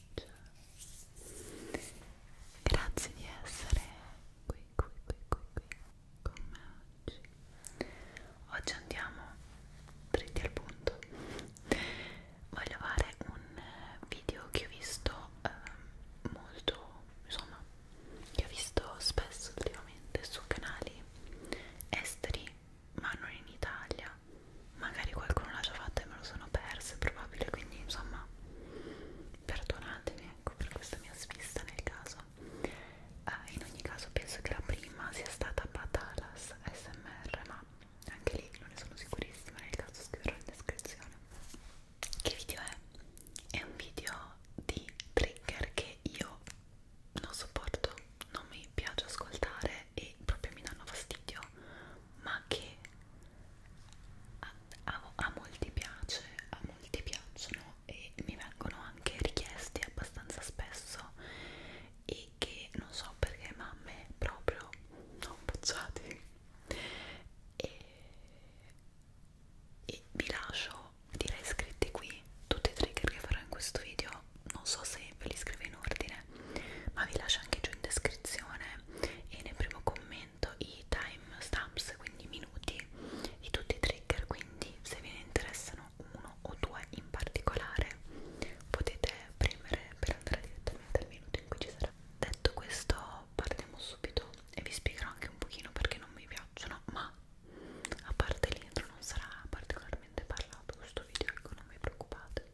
Ciao. Grazie di essere qui, qui, qui, qui, qui con me oggi. Oggi andiamo dritti al punto. Voglio fare un video che ho visto eh, molto, insomma, che ho visto spesso ultimamente su canali esteri, ma non in Italia magari qualcuno l'ha già fatta e me lo sono persa, è probabile, quindi insomma perdonatemi ecco, per questa mia svista nel caso eh, in ogni caso penso che la prima sia stata Patalas SMR ma anche lì non ne sono sicurissima nel caso scriverò in descrizione che video è? è un video di trigger che io non sopporto non mi piace ascoltare e proprio mi danno fastidio ma che a, a, a molti piace, a molti piacciono e mi vengono anche richiesti abbastanza spesso e che non so perché ma a me proprio non bocciati e, e vi lascio direi scritti qui tutti i trigger che farò in questo video non so se ve li scrivo in ordine ma vi lascio anche giù in descrizione e nel primo commento commento i time stamps, quindi minuti di tutti i trigger, quindi se vi interessano uno o due in particolare potete premere per andare direttamente al minuto in cui ci sarà. Detto questo partiamo subito e vi spiegherò anche un pochino perché non mi piacciono, ma a parte l'intro non sarà particolarmente parlato questo video, ecco non vi preoccupate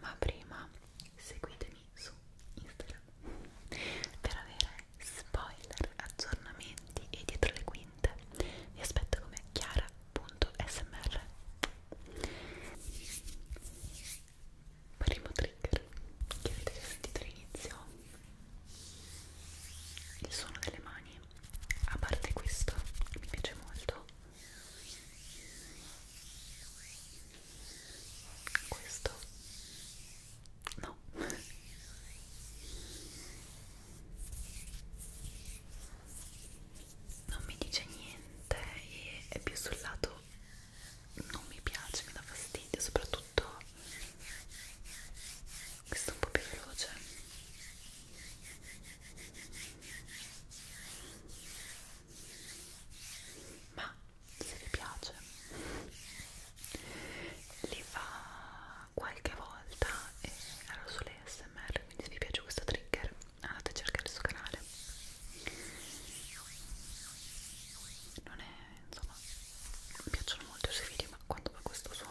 ma prima seguitemi su Instagram per avere spoiler, aggiornamenti e dietro le quinte vi aspetto come chiara.smr primo trigger che avete sentito all'inizio il suono delle mani a parte questo mi piace molto questo no non mi dice niente e è più sul lato non mi piace mi dà fastidio soprattutto questo è un po' più veloce ma se vi piace li fa qualche volta e ero sulle smr quindi se vi piace questo trigger andate a cercare il suo canale non è insomma mi piacciono molto i suoi video ma quando fa questo suono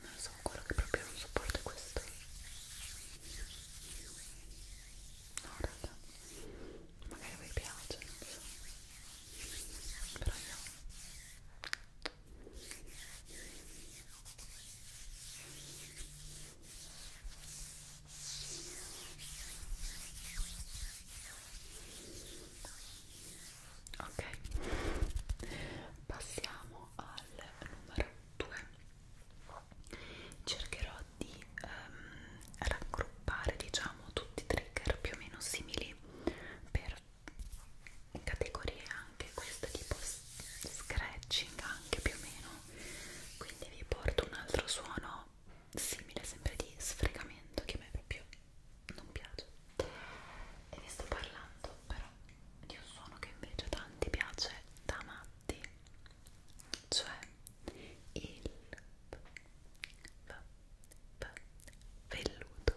non so quello che proprio non sopporto è questo no raga magari a voi piace non so però io ok passiamo al numero 2 cercherò di ehm, raggruppare diciamo tutti i trigger più o meno simili per categorie anche queste tipo scratching anche più o meno quindi vi porto un altro suono simile sempre di sfregamento che a me proprio non piace e vi sto parlando però di un suono che invece a tanti piace da matti cioè il velluto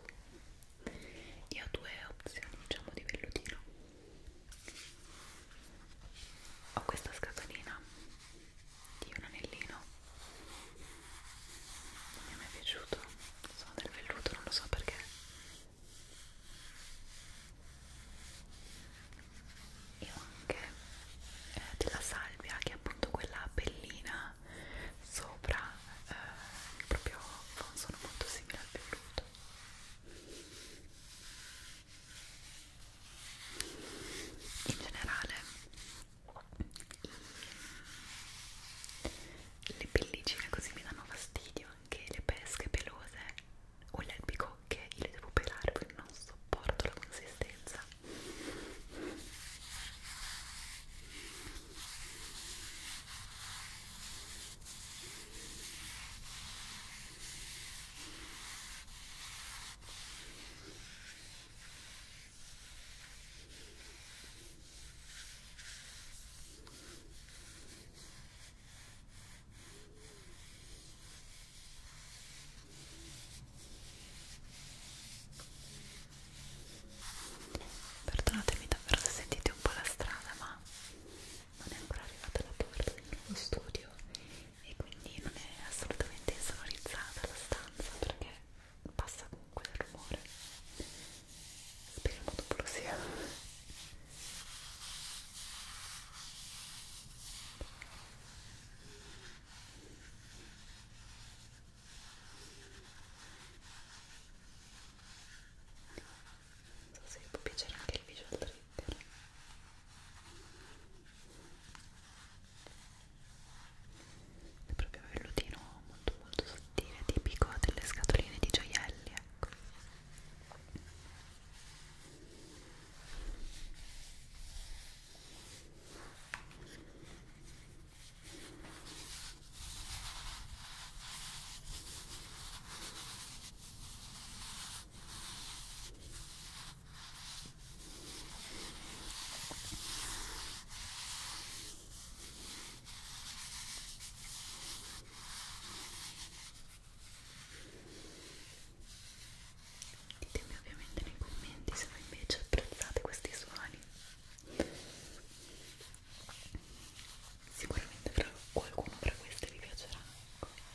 io ho due opzioni diciamo di vellutino ho questa scatolina di un anellino non mi è mai piaciuto sono del velluto non lo so perché e ho anche eh, della salvia che è appunto quella pellina sopra eh, proprio non sono molto simile al velluto in generale le pellicine così mi danno fastidio anche le pesche pelose o le albicocche io le devo pelare perché non sopporto la consistenza Perdonatemi davvero se sentite un po' la strada, ma non è ancora arrivata la porta del nuovo studio e quindi non è assolutamente insonorizzata la stanza perché passa comunque il rumore speriamo dopo lo sia non so se vi può piacere anche il visual trigger è proprio vellutino molto molto sottile tipico delle scatoline di gioielli ecco Ditemi ovviamente nei commenti se voi invece apprezzate questi suoni. Sicuramente fra qualcuno fra questi vi piacerà. Ecco.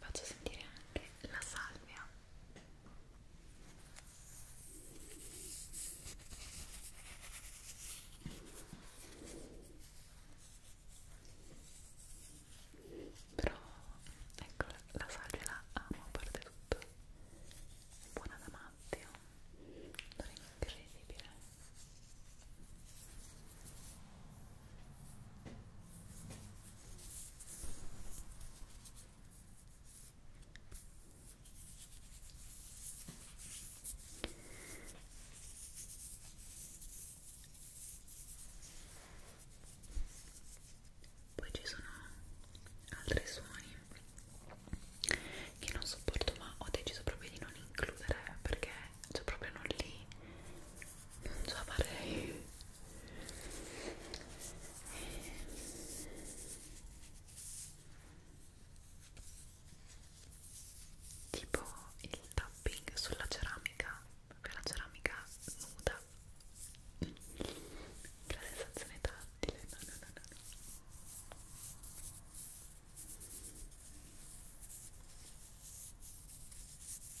faccio sentire anche la salvia però ecco la salvia la amo a parte tutto è buona da matti non è incredibile poi ci sono altri suoni che non sopporto, ma ho deciso proprio di non includere perché cioè proprio non li non ce la farei tipo il tapping sulla ceramica proprio la ceramica nuda la sensazione tattile no no no no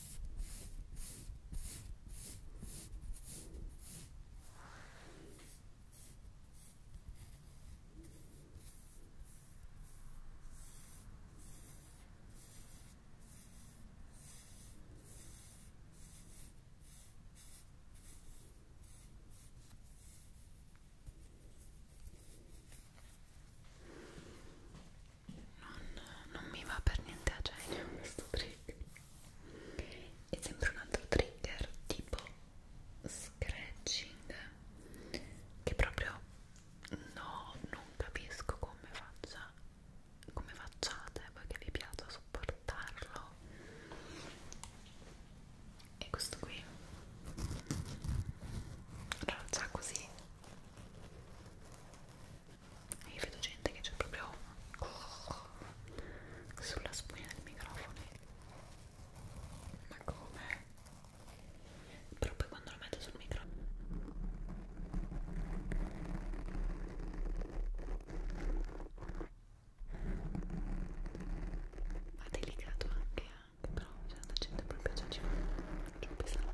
Non, non mi va per niente a genio questo trick e sempre un altro trigger tipo scratching che proprio no non capisco come faccia come facciate voi che vi piace sopportarlo e questo qui allora già così e io vedo gente che c'è proprio sulla spugna del microfono ma come? però poi quando lo metto sul microfono ha delicato anche, anche però c'è cioè, la gente proprio già ci pesante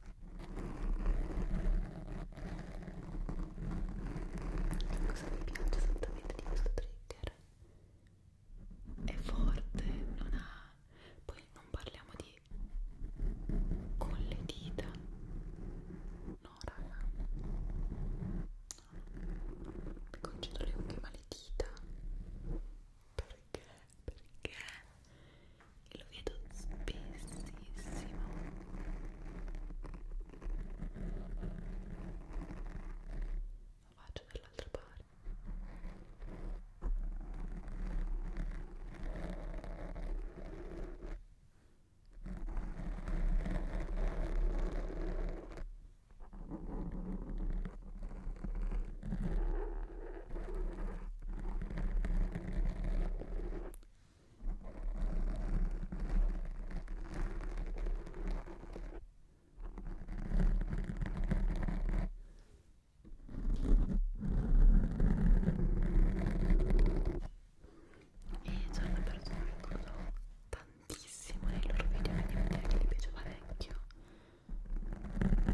cosa mi piace esattamente di questo trigger? È forte, non ha... poi non parliamo di con le dita no raga no. mi concedo le unghie ma le dita per perché perché lo vedo spessissimo lo faccio dall'altra parte ok e ci hanno perso tantissimo nei loro video quindi vuol dire che gli piaceva vecchio perché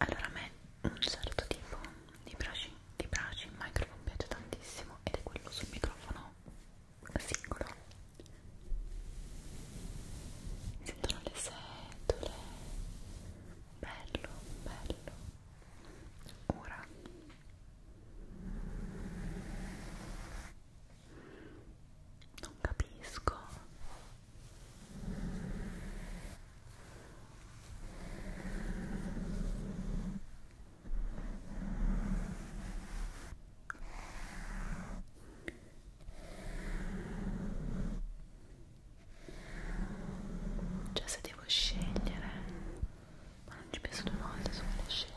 allora a me un certo tipo di brushing, di brushing microphone piace tantissimo ed è quello sul microfono singolo mi sentono le setole bello bello ora non capisco cioè se devo scegliere, ma non ci penso due volte se voglio scegliere.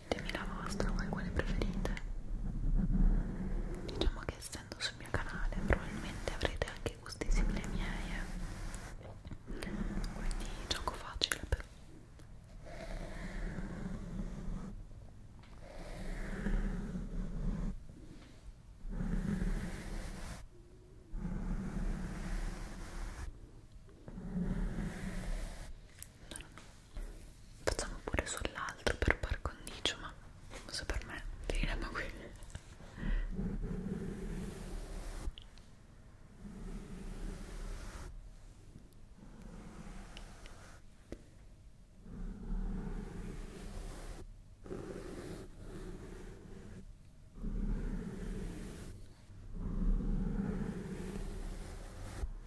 ditemi la vostra, voi quale preferite diciamo che essendo sul mio canale probabilmente avrete anche gusti simili ai miei eh? quindi gioco facile però non ho facciamo pure sull'altro per par condicio ma non so per me finiamo qui Ecco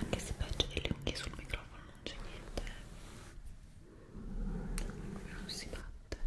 Anche se peggio delle unghie sul microfono non c'è niente, non si batte. Ecco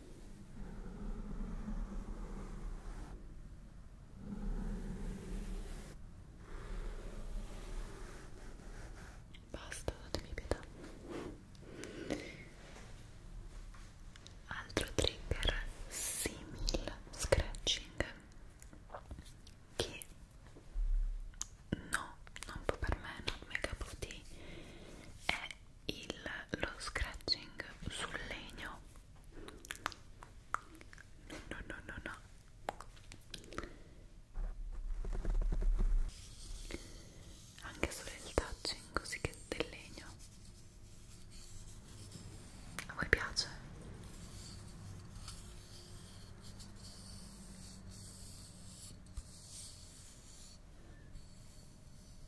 Basta, datemi pietà. Altro trigger simil scratching che no, non può per me, non mega puti è il, lo scratching sul legno No, no, no, no, no. Anche solo il touching così che del legno. A voi piace?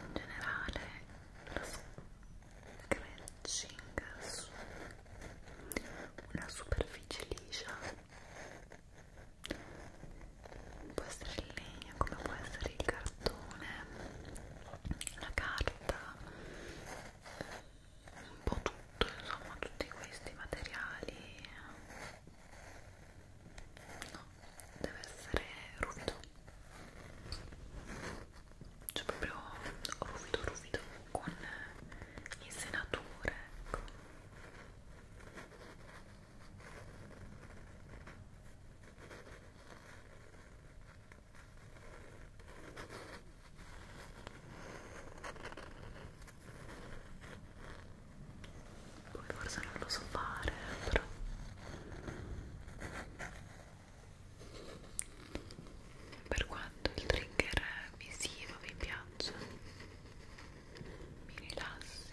In generale lo scratching su una superficie liscia può essere il legno come può essere il cartone la carta, un po' tutto, insomma, tutti questi materiali. No, deve essere ruvido. Cioè proprio ruvido, ruvido, con insenature, ecco. Poi forse non lo so fare, però per quanto il trigger visivo vi piaccia, mi rilassi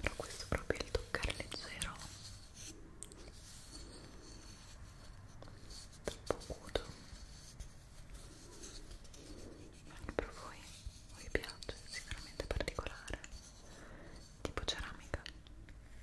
però questo è proprio il toccare leggero troppo acuto anche per voi vi piace, è sicuramente particolare tipo ceramica Ecco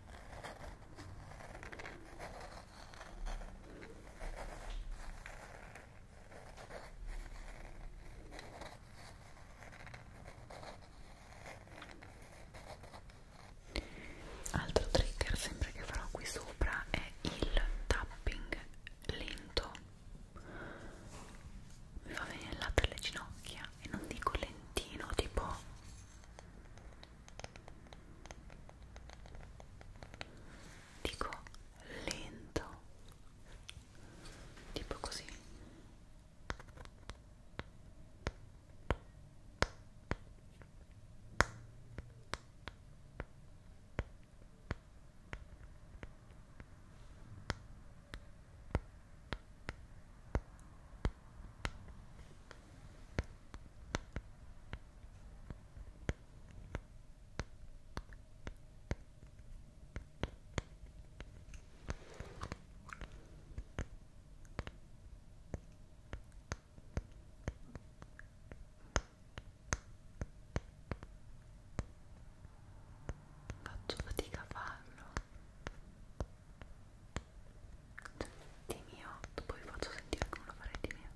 Altro trigger sempre che farò qui sopra è il tapping lento. Mi fa venire il latte alle ginocchia e non dico lentino tipo dico lento tipo così Faccio fatica a farlo di mio, poi vi faccio sentire come lo farei di mio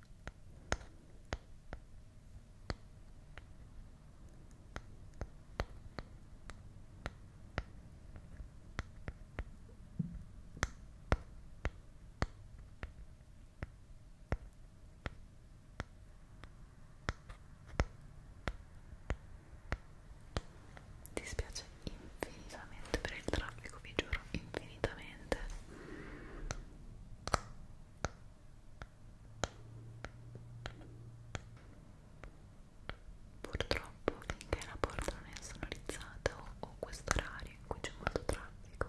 ti spiace infinitamente per il traffico, vi giuro, infinitamente. Purtroppo finché la porta non è sonorizzata o, o questo orario in cui c'è molto traffico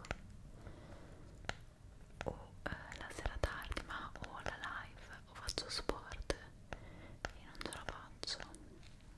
o eh, la sera tardi ma o la live o faccio sport e non ce la faccio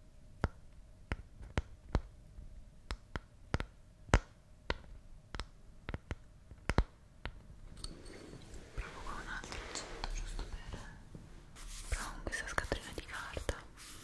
Provo con un altro oggetto giusto per... Provo con questa scatolina di carta ok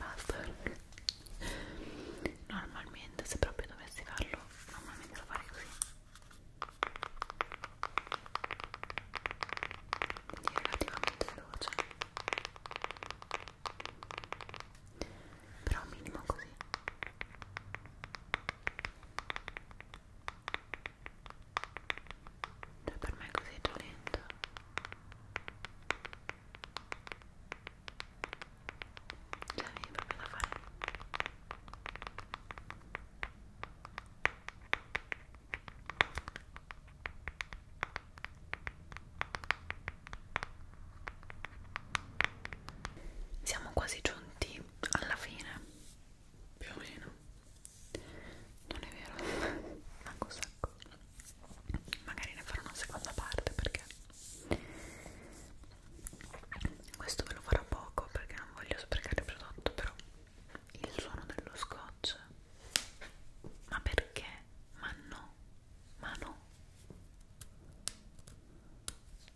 basta normalmente se proprio dovessi farlo normalmente lo farei così quindi relativamente veloce però minimo così cioè per me è così dolente Cioè mi proprio da fare siamo quasi giunti alla fine più o meno non è vero manco un sacco magari ne farò una seconda parte perché questo ve lo farò poco perché non voglio sprecare il prodotto però il suono dello scotch ma perché? ma no ma no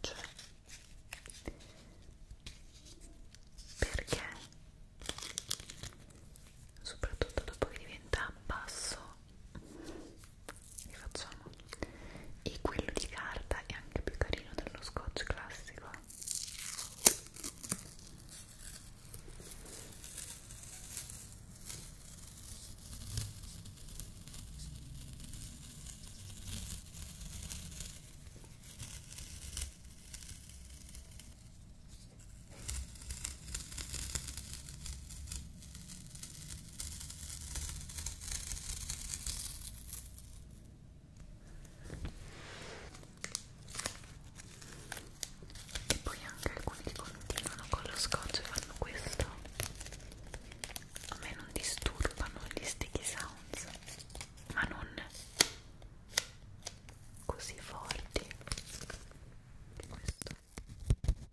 Cioè, perché soprattutto dopo che diventa basso li facciamo e quello di carta è anche più carino dello scotch classico e poi anche alcuni che continuano con lo scotch e fanno questo a me non disturbano gli sticky sounds ma non così forti questo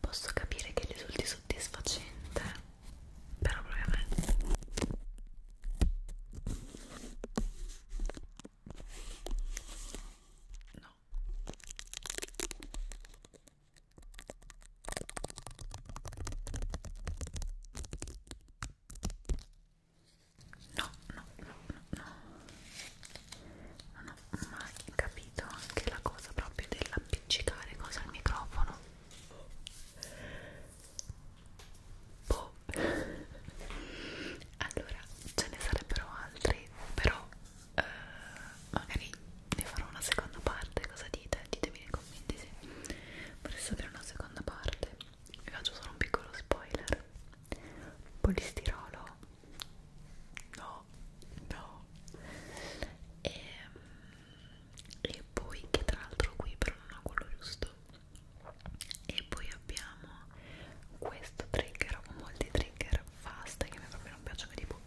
Posso capire che risulti soddisfacente, però proprio a me. No. No, no, no, no, non ho mai capito anche la cosa proprio dell'appiccicare cosa al microfono. Boh. Allora, ce ne sarebbero altri, però eh, magari ne farò una seconda parte, cosa dite? Ditemi nei commenti se vorreste sapere una seconda parte vi faccio solo un piccolo spoiler polistirolo no, no e, ehm, e poi che tra l'altro qui però non ho quello giusto e poi abbiamo questo trigger o molti trigger fast che a me proprio non piacciono che tipo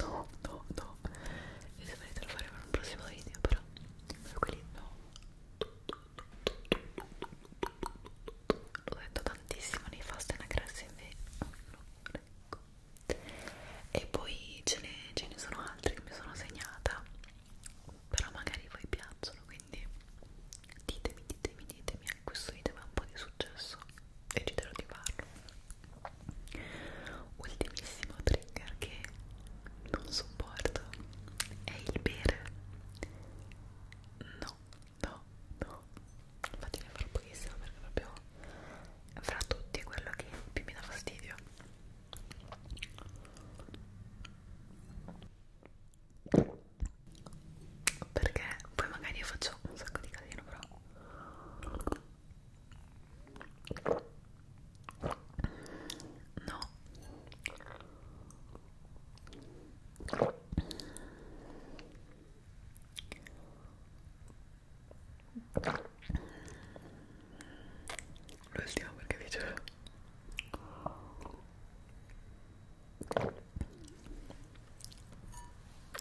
No, no, no. Vi saprete lo faremo in un prossimo video, però. Però quelli no. L'ho detto tantissimo nei fast e nacressi invece. Ecco. E poi ce ne, ce ne sono altri che mi sono segnata. Però magari voi piacciono. Quindi quindi ditemi, ditemi, ditemi questo video mi ha un po' di successo decidero di farlo ultimissimo trigger che non sopporto è il bere no, no, no infatti ne farò pochissimo perché proprio fra tutti è quello che più mi dà fastidio perché poi magari io faccio un sacco di casino però no l'ultimo perché dicevo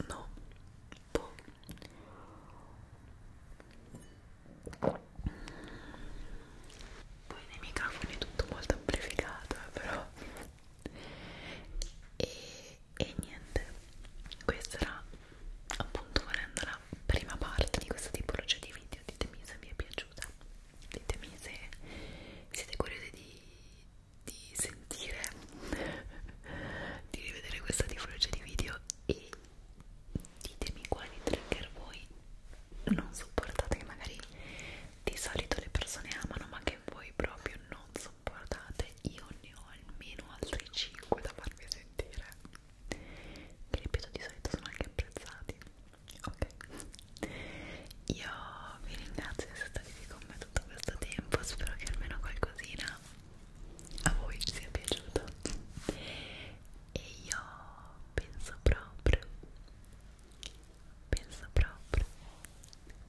No, boh. Poi nei microfoni è tutto molto amplificato, eh, però. E, e niente, questa era appunto volendo la prima parte di questa tipologia di video. Ditemi se vi è piaciuta, ditemi se siete curiosi di di sentire, di rivedere questa tipologia di video e ditemi quali trigger voi non sopportate, che magari di solito le persone amano ma che voi proprio non sopportate. Io ne ho almeno altri 5 da farvi sentire, che ripeto di solito sono anche apprezzati. Ok. Io vi ringrazio di essere stati qui con me tutto questo tempo, spero che almeno qualcosina a voi ci sia piaciuto e io penso proprio, penso proprio,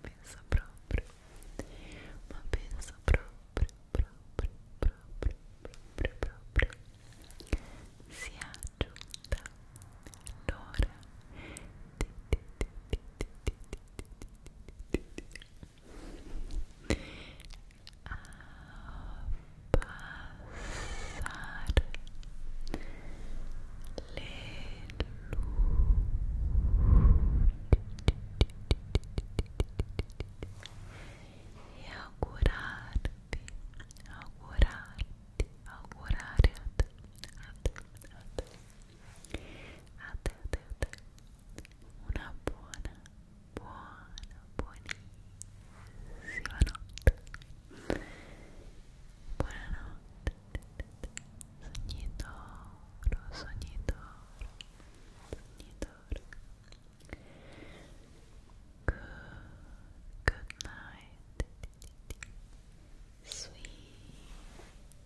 penso proprio, ma penso proprio, proprio, proprio, proprio, proprio sia giunta Nora a passare le luci e augurarti, augurarti, augurare a te, a te, a te a te, a te, a buona, buona, buonissima notte buonanotte sognitoro, sognitoro sognitoro good night sweet